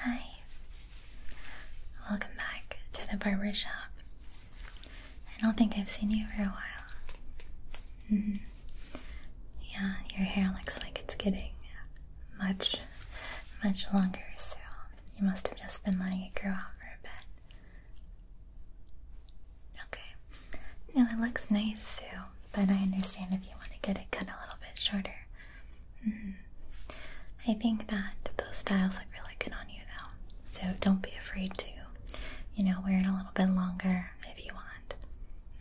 Hi, welcome back to the barber shop. I don't think I've seen you for a while. Mm-hmm. Yeah, your hair looks like it's getting much, much longer, so you must have just been letting it grow out for a bit. Okay. No, it looks nice, too. but I understand if you want to get it cut a little bit shorter. Mm-hmm. I think that those styles look really good on you though, so don't be afraid to, you know, wear it a little bit longer if you want.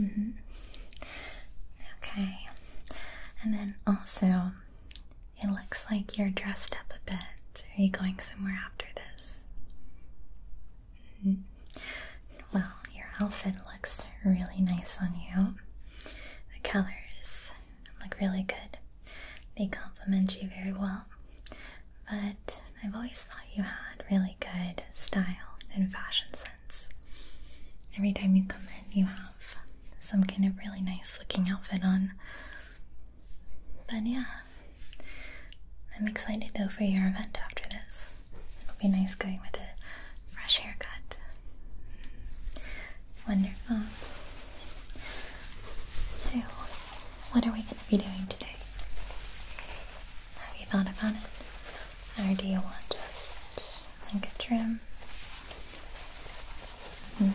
Mm-hmm. Okay, and then also, it looks like you're dressed up a bit. Are you going somewhere after this? Mm-hmm. Well, your outfit looks really nice on you. The colors look really good. They complement you very well. But I've always thought you had really good style and fashion sense. Every time you come in, you have some kind of really nice looking outfit on. But yeah, I'm excited though for your event after this. It'll be nice going with a fresh haircut. Mm. Wonderful. So, what are we going to be doing today? Have you thought about it? Or do you want just like a trim? Hmm.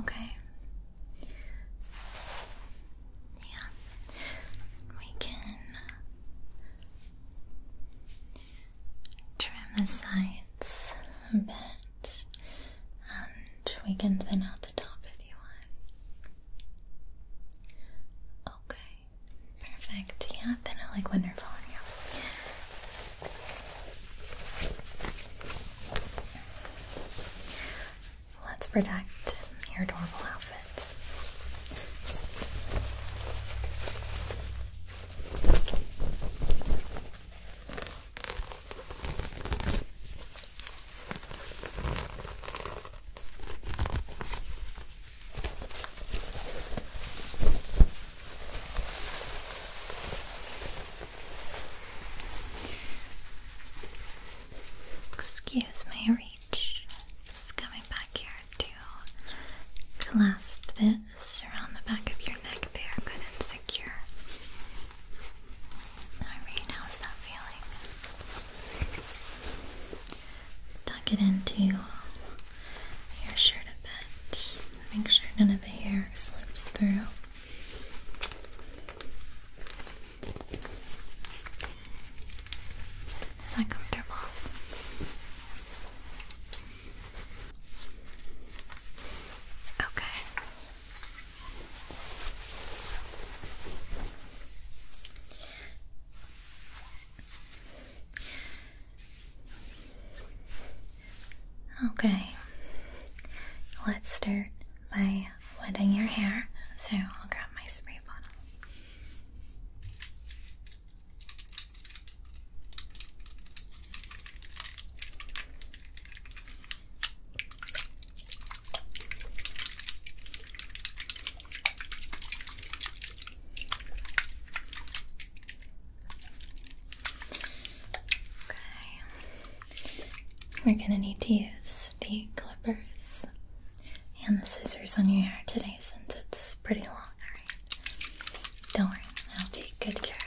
Okay. Yeah. We can Trim the sides a bit, and we can thin out the top if you want. Okay, perfect. Yeah, thin out like wonderful on you. Let's protect your adorable outfit. Excuse me, Rita page coming back here to last this around the back of your neck there, good and secure. Alright, how's that feeling? Tuck it into your shirt a bit. Make sure none of the hair slips through. It's uncomfortable. Okay. Okay, let's start by wetting your hair. So I'll grab my spray bottle. Okay, we're going to need to use the clippers and the scissors on your hair today since it's pretty long, alright? Don't worry, I'll take good care of you.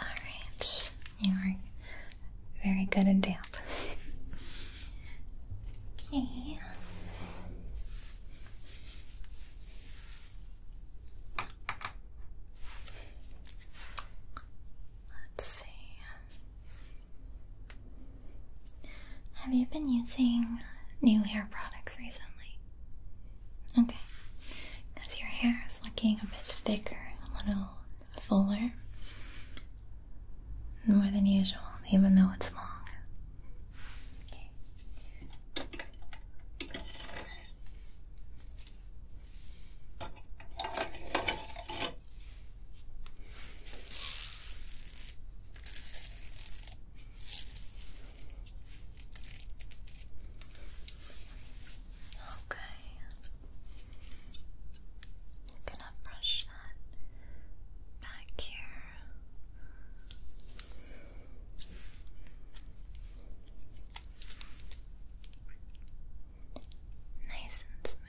Alright, you are very good and damp. okay. Let's see. Have you been using new hair products recently? Okay, because your hair is looking a bit thicker, a little fuller, more than usual, even though it's long. Okay. I'm gonna brush that back here. Nice and smooth.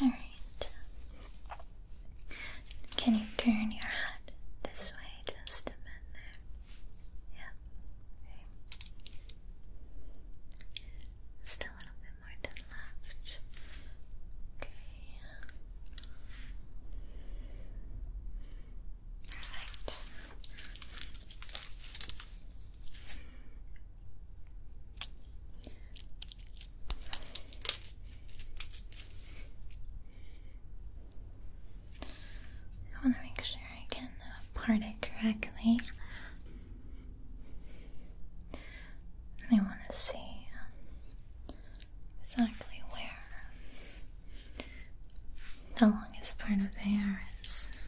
Alright. Can you turn your head this way just a bit there? Yeah. Okay. Just a little bit more to the left. Okay. Perfect. I want to make sure I can part it correctly. I want to see um, exactly where the longest part of the is.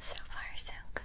So far, so good.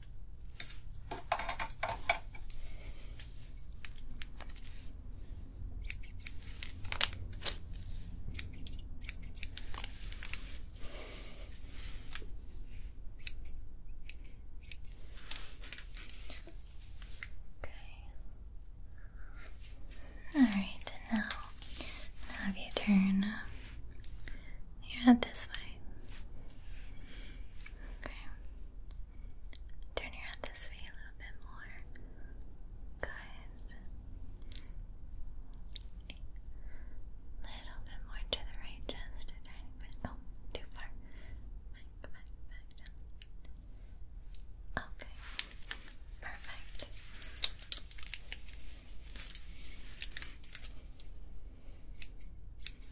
Okay. All right, now, have you turn your head this way. Okay. Turn your head this way a little bit more. Good. Little bit more to the right, just a tiny bit. Oh, too far. Okay. Perfect.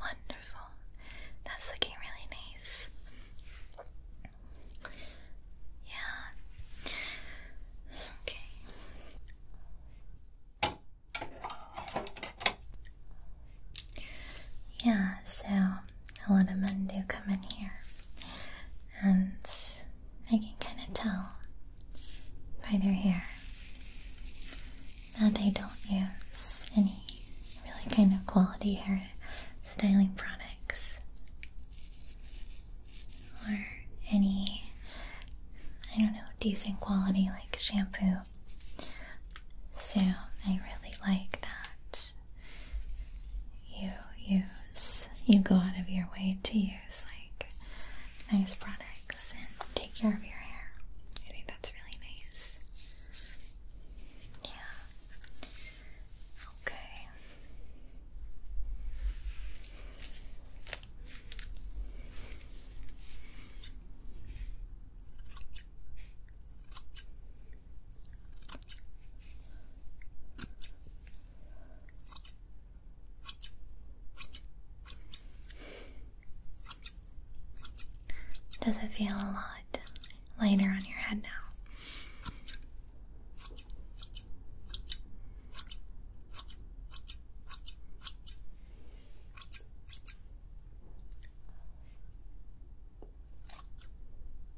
Wonderful. That's looking really nice. Yeah. Okay. Yeah, so a lot of men do come in here, and I can kind of tell by their hair that they don't use any really kind of quality hair styling products or any, I don't know, decent quality like shampoo. So I really like that you use, you go out of your way to use like nice products and take care of your hair. I think that's really nice. Yeah. Okay. Does it feel a lot lighter on your head now?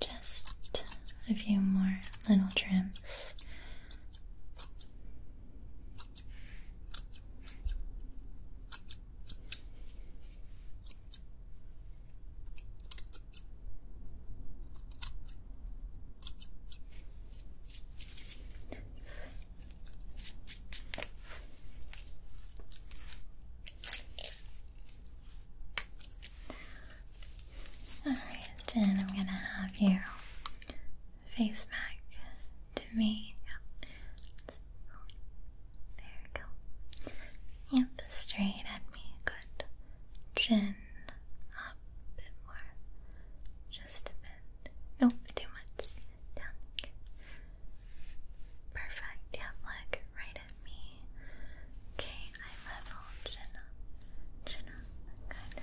Just a few more little trims. Alright, then I'm gonna have you face back to me. There you go. Yep, straight at me. Good. Chin a bit more, just a bit. Nope, too much. Perfect. Yeah, look right at me. Okay, I level chin up, kind of. Chin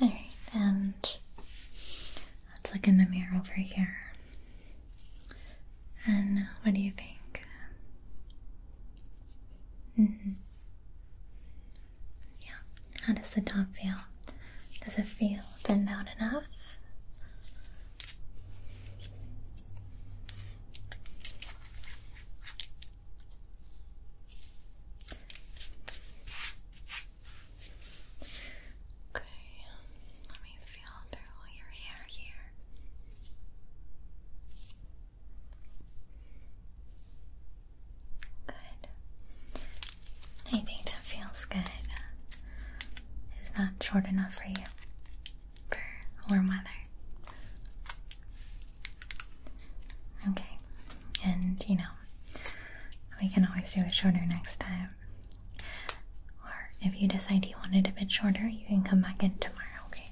All right, and let's look in the mirror over here. And what do you think? Mm-hmm. Yeah, how does the top feel? Does it feel thinned out enough? Okay, let me feel through all your hair here. Good. I think that feels good. It's not short enough for you. For warm weather. Okay. And you know, we can always do it shorter next time. Or if you decide you want it a bit shorter, you can come back in tomorrow, okay?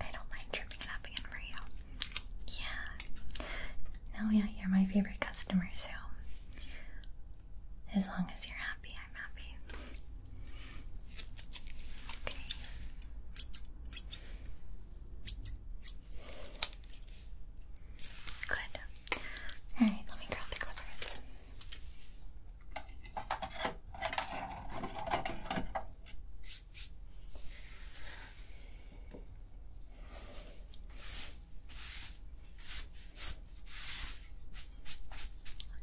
I don't mind tripping it up again for you. Yeah. Oh, yeah, you're my favorite customer, so as long as you're happy, I'm happy. Okay. Good. Alright, let me grab the clippers.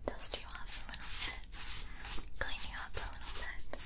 Dust you off a little bit, clean you up a little bit.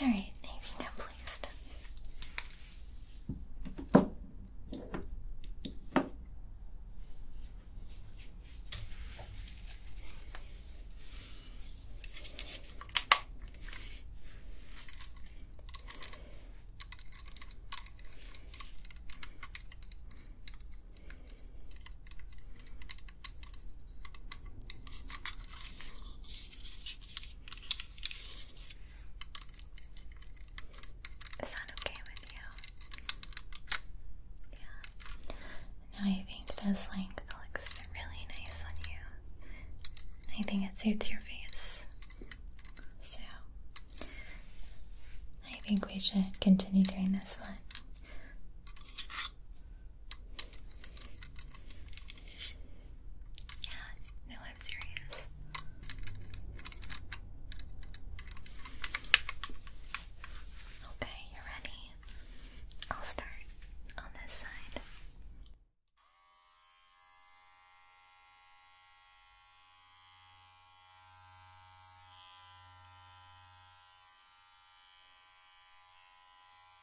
Alright, now you can come, is that okay with you? Yeah. I think this length looks really nice on you. I think it suits your face. So I think we should continue doing this one. Yeah, no, I'm serious. Okay, you're ready. I'll start on this side.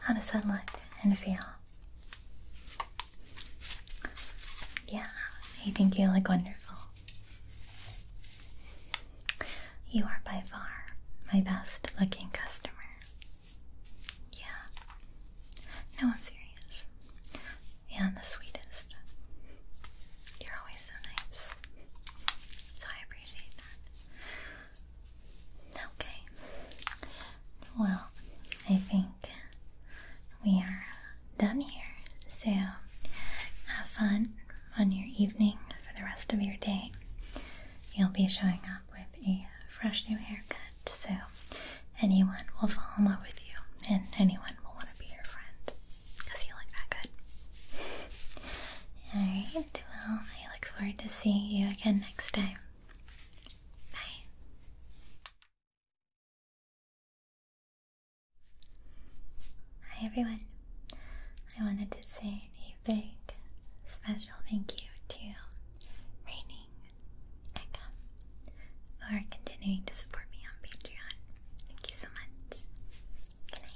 how does that look and feel? Yeah, I think you look wonderful. You are by far my best looking customer. Yeah. No, I'm serious. And the sweetest. You're always so nice. So I appreciate that. Okay. Well, I think we are done here. So have fun on your evening for the rest of your day. You'll be showing up with a fresh new haircut, so anyone will fall in love with you and anyone will want to be your friend because you look that good. Alright, well, I look forward to seeing you again next time. Bye. Hi everyone. I wanted to say a big special thank you to Raining Echo for continuing to support me on Patreon. Thank you so much. Good